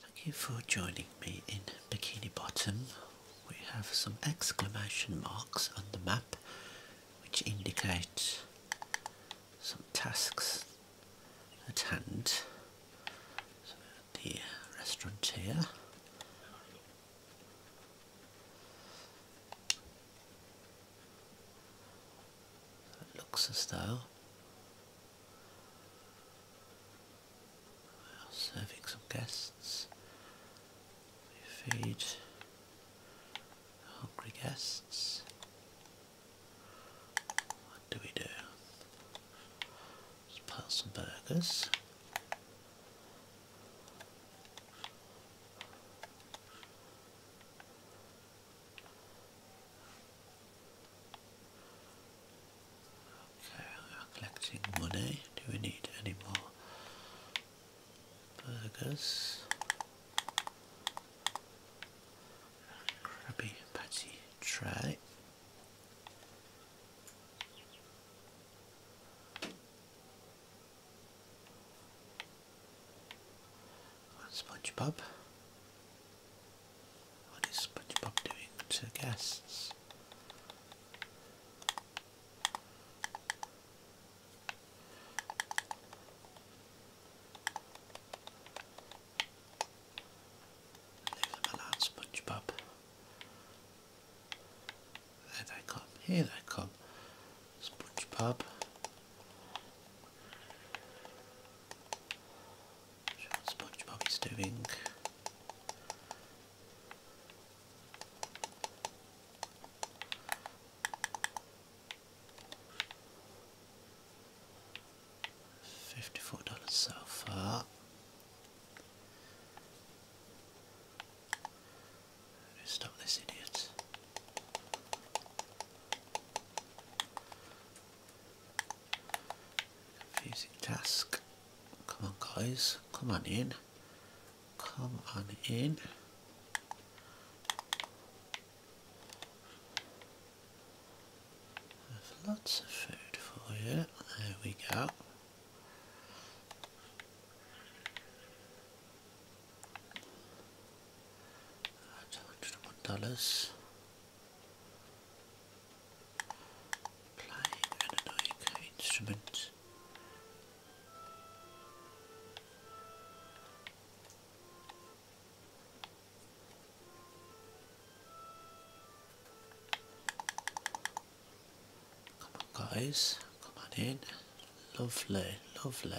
Thank you for joining me in Bikini Bottom. We have some exclamation marks on the map which indicate some tasks at hand. So the restaurant here. looks a though Serving some guests. We feed hungry guests. What do we do? let pile some burgers. So we are collecting money. Do we need any more burgers? Krabby patty tray. SpongeBob. What is SpongeBob doing to guests? Leave them alone, SpongeBob. There they come, here they come. SpongeBob what SpongeBob is doing. Fifty-four dollars so far. Stop this idiot. Music task. Come on guys, come on in. Come on in. lots of food for you. There we go. $101. Playing an annoying instrument. Come on guys, come on in. Lovely, lovely.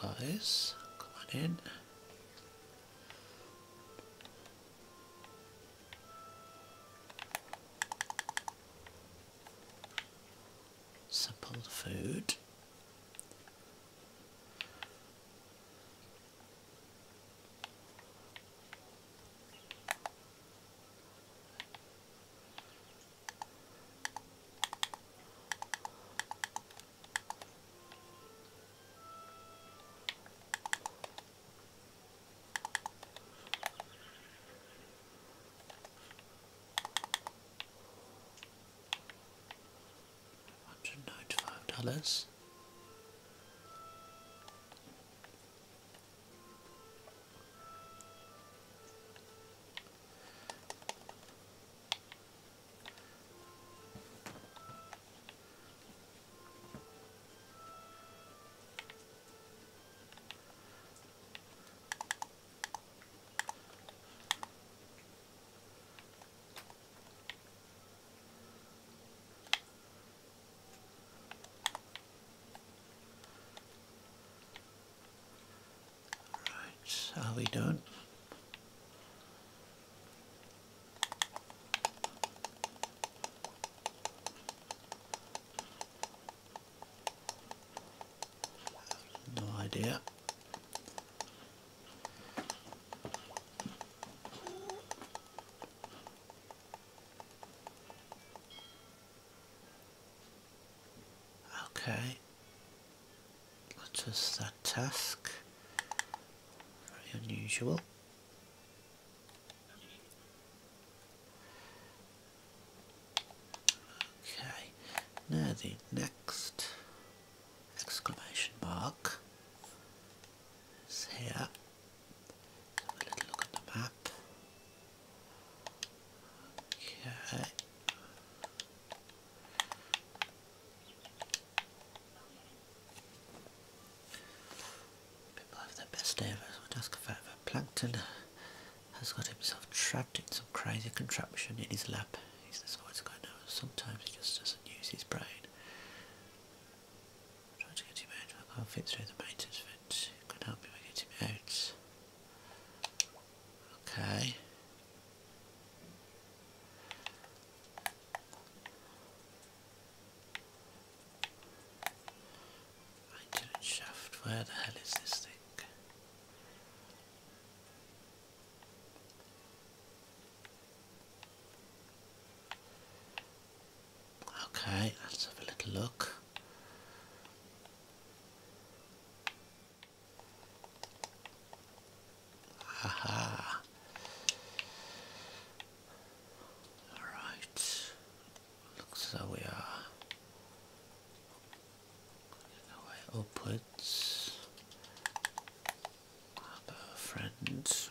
guys. Come on in. Simple food. Hundred ninety-five dollars. Right, so are we done? No idea. Okay got us that task. Very unusual. Okay, now the next exclamation mark is here. a little look at the map. Okay. People have their best day ever. So i Plankton has got himself trapped in some crazy contraption in his lap. He's the sort guy now. Sometimes he just doesn't use his brain. am trying to get him out. I can't fit through the maintenance vent. It Can help you get him out. Okay. Maintenance shaft, where the hell is this thing? Okay, let's have a little look. Aha. Alright. Looks as though we are way friends.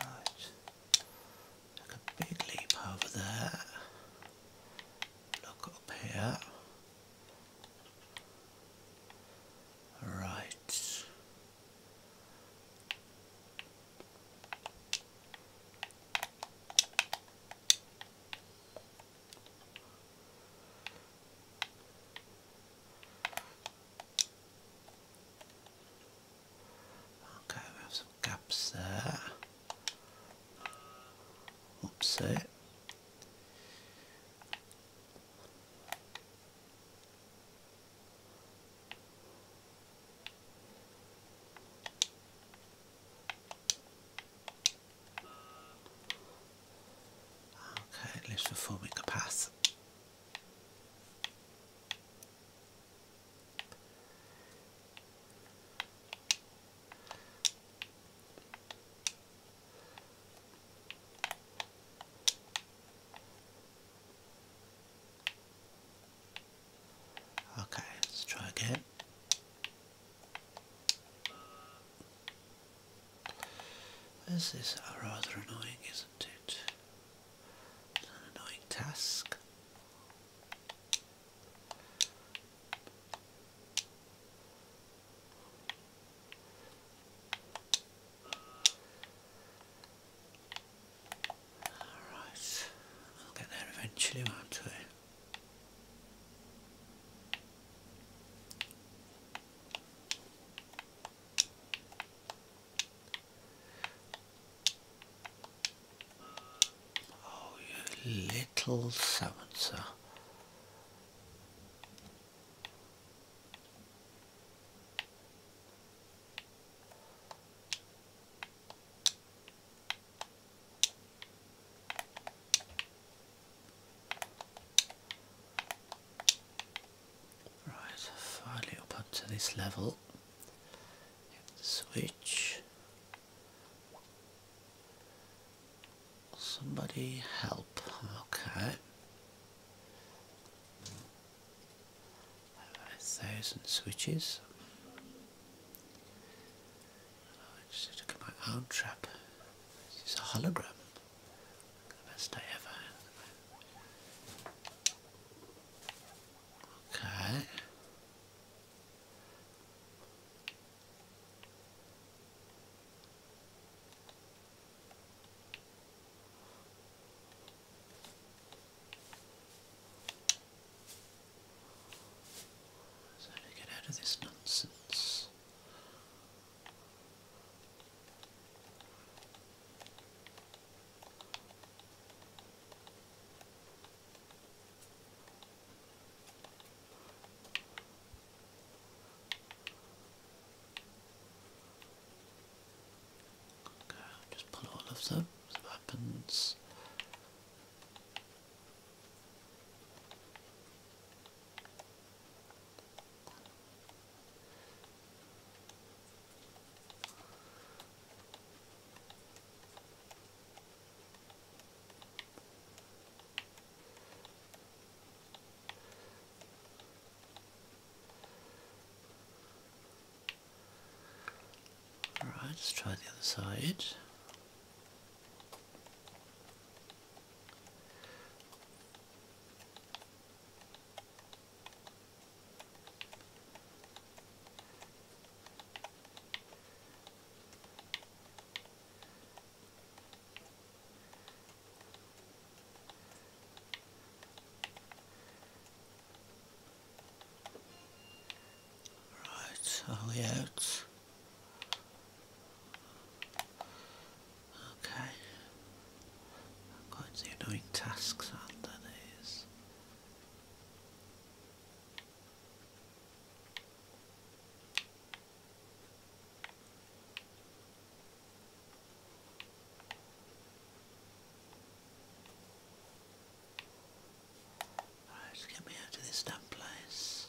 Right. Take a big leap over there. Look up here. Right. Okay, we have some gaps there. Oopsie. Eh. Okay, least lives for four week pass. Okay, let's try again. This is rather annoying, isn't it? an annoying task. Alright, we'll get there eventually, won't we? Oh, you little so Right, finally up onto this level. Switch. Somebody help. Okay. A thousand switches. I just took my own trap. This is a hologram. best I ever Okay. So to get out of this nonsense this. Okay, just pull all of them, the weapons. Alright, let's try the other side. Right, all the outs. Okay. Quite annoying tasks under these. Alright, get me out of this damn place.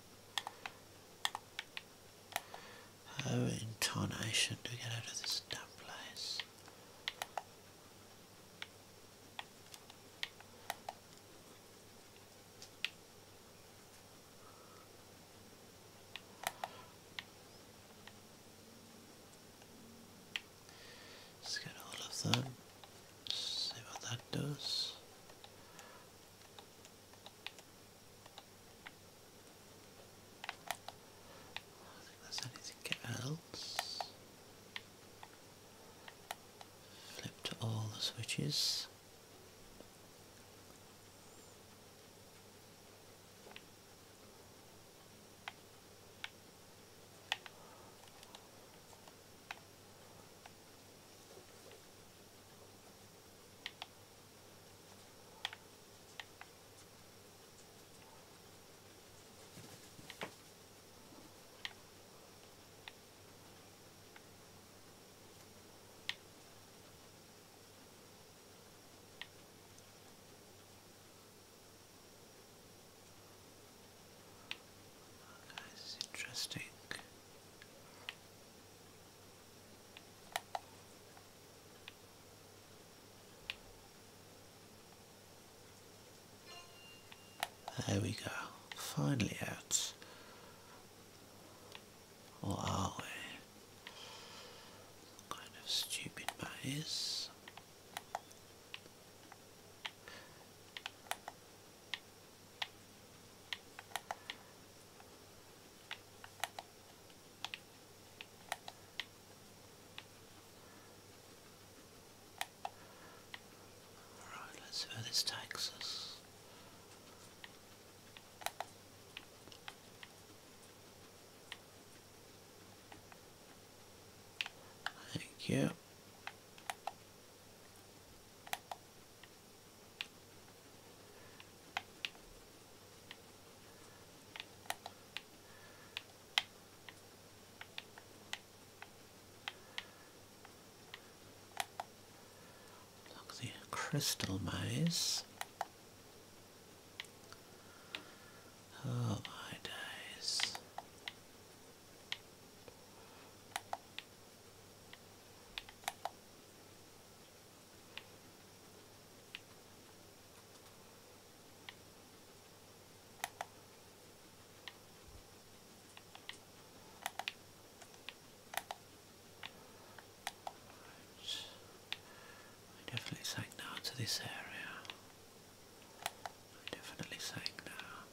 How in tarnation do we get out of this damn place? Let's get all of them. See what that does. I think there's anything else. Flip to all the switches. Okay, this is interesting. There we go. Finally out. Or are we? kind of stupid maze. Alright, let's see where this takes us. Thank you. Look, the crystal maze. Oh my days. I definitely sank down to this area. I definitely sank down.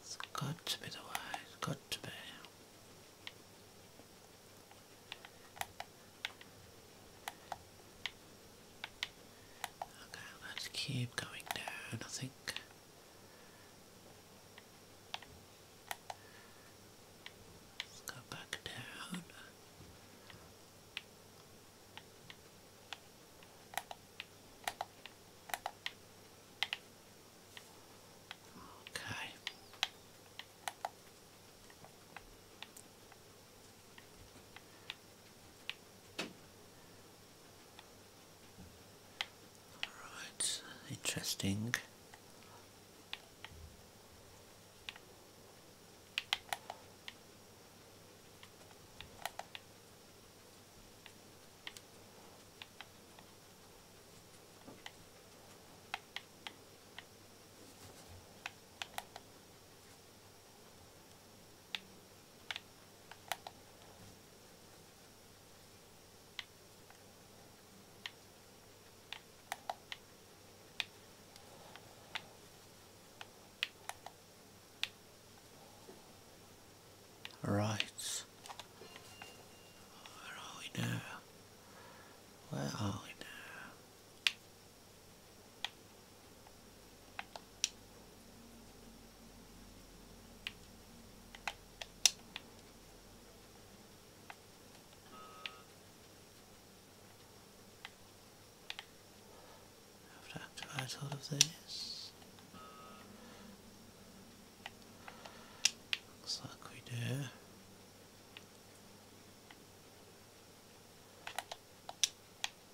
It's got to be the way, it's got to be. Okay, let's keep going down, I think. Let's go back down. Okay. Alright, interesting. Right. Where are we now? Where are we now? I have to activate all of these. Looks like we do.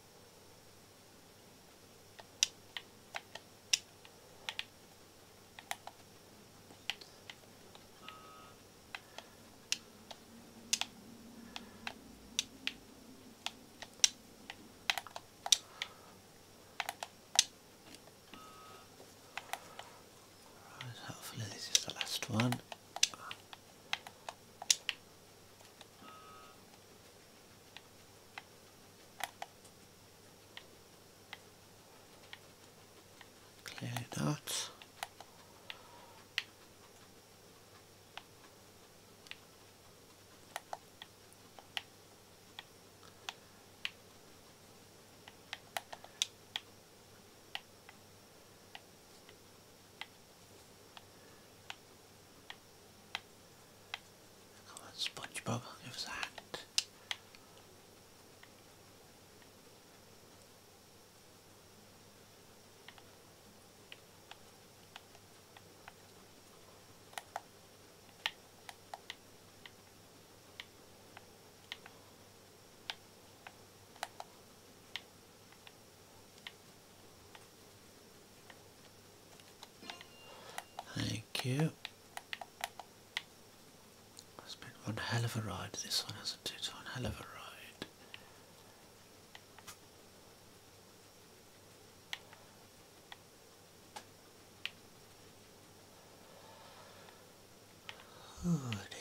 Right, hopefully this is the last one. Clear not. Come on, SpongeBob, give us a hand. Thank you. It's been one hell of a ride, this one hasn't it? It's hell of a ride. Oh dear.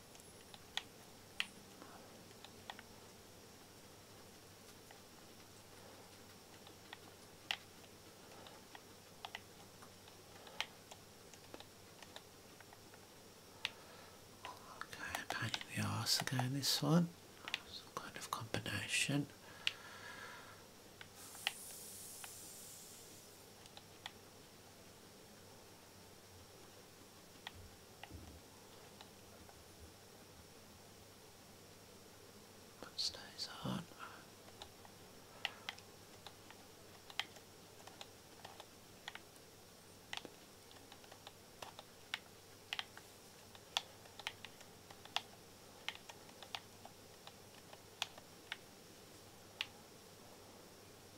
Okay, pain in the arse again this one. Some kind of combination stays on.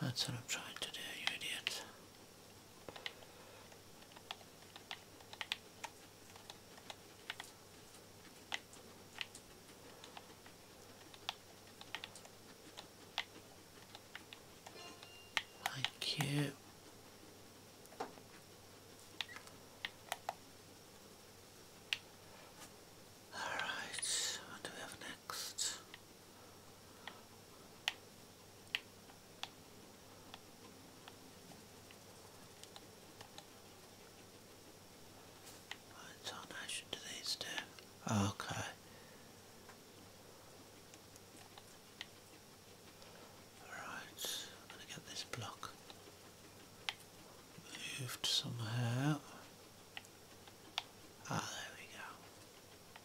That's what I'm trying to do, you idiot. Thank you. All right, what do we have next. What donation do these Okay. Alright, I'm going to get this block moved somehow. Ah, there we go.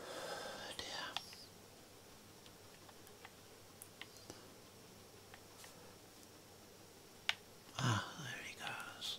Oh dear. Ah, there he goes.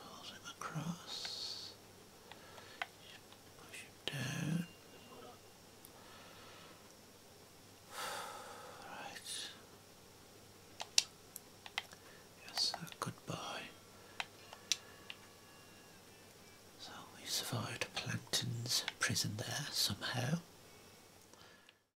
Pulls him across. Push him down. Right. Yes, goodbye. So we survived Plankton's prison there somehow.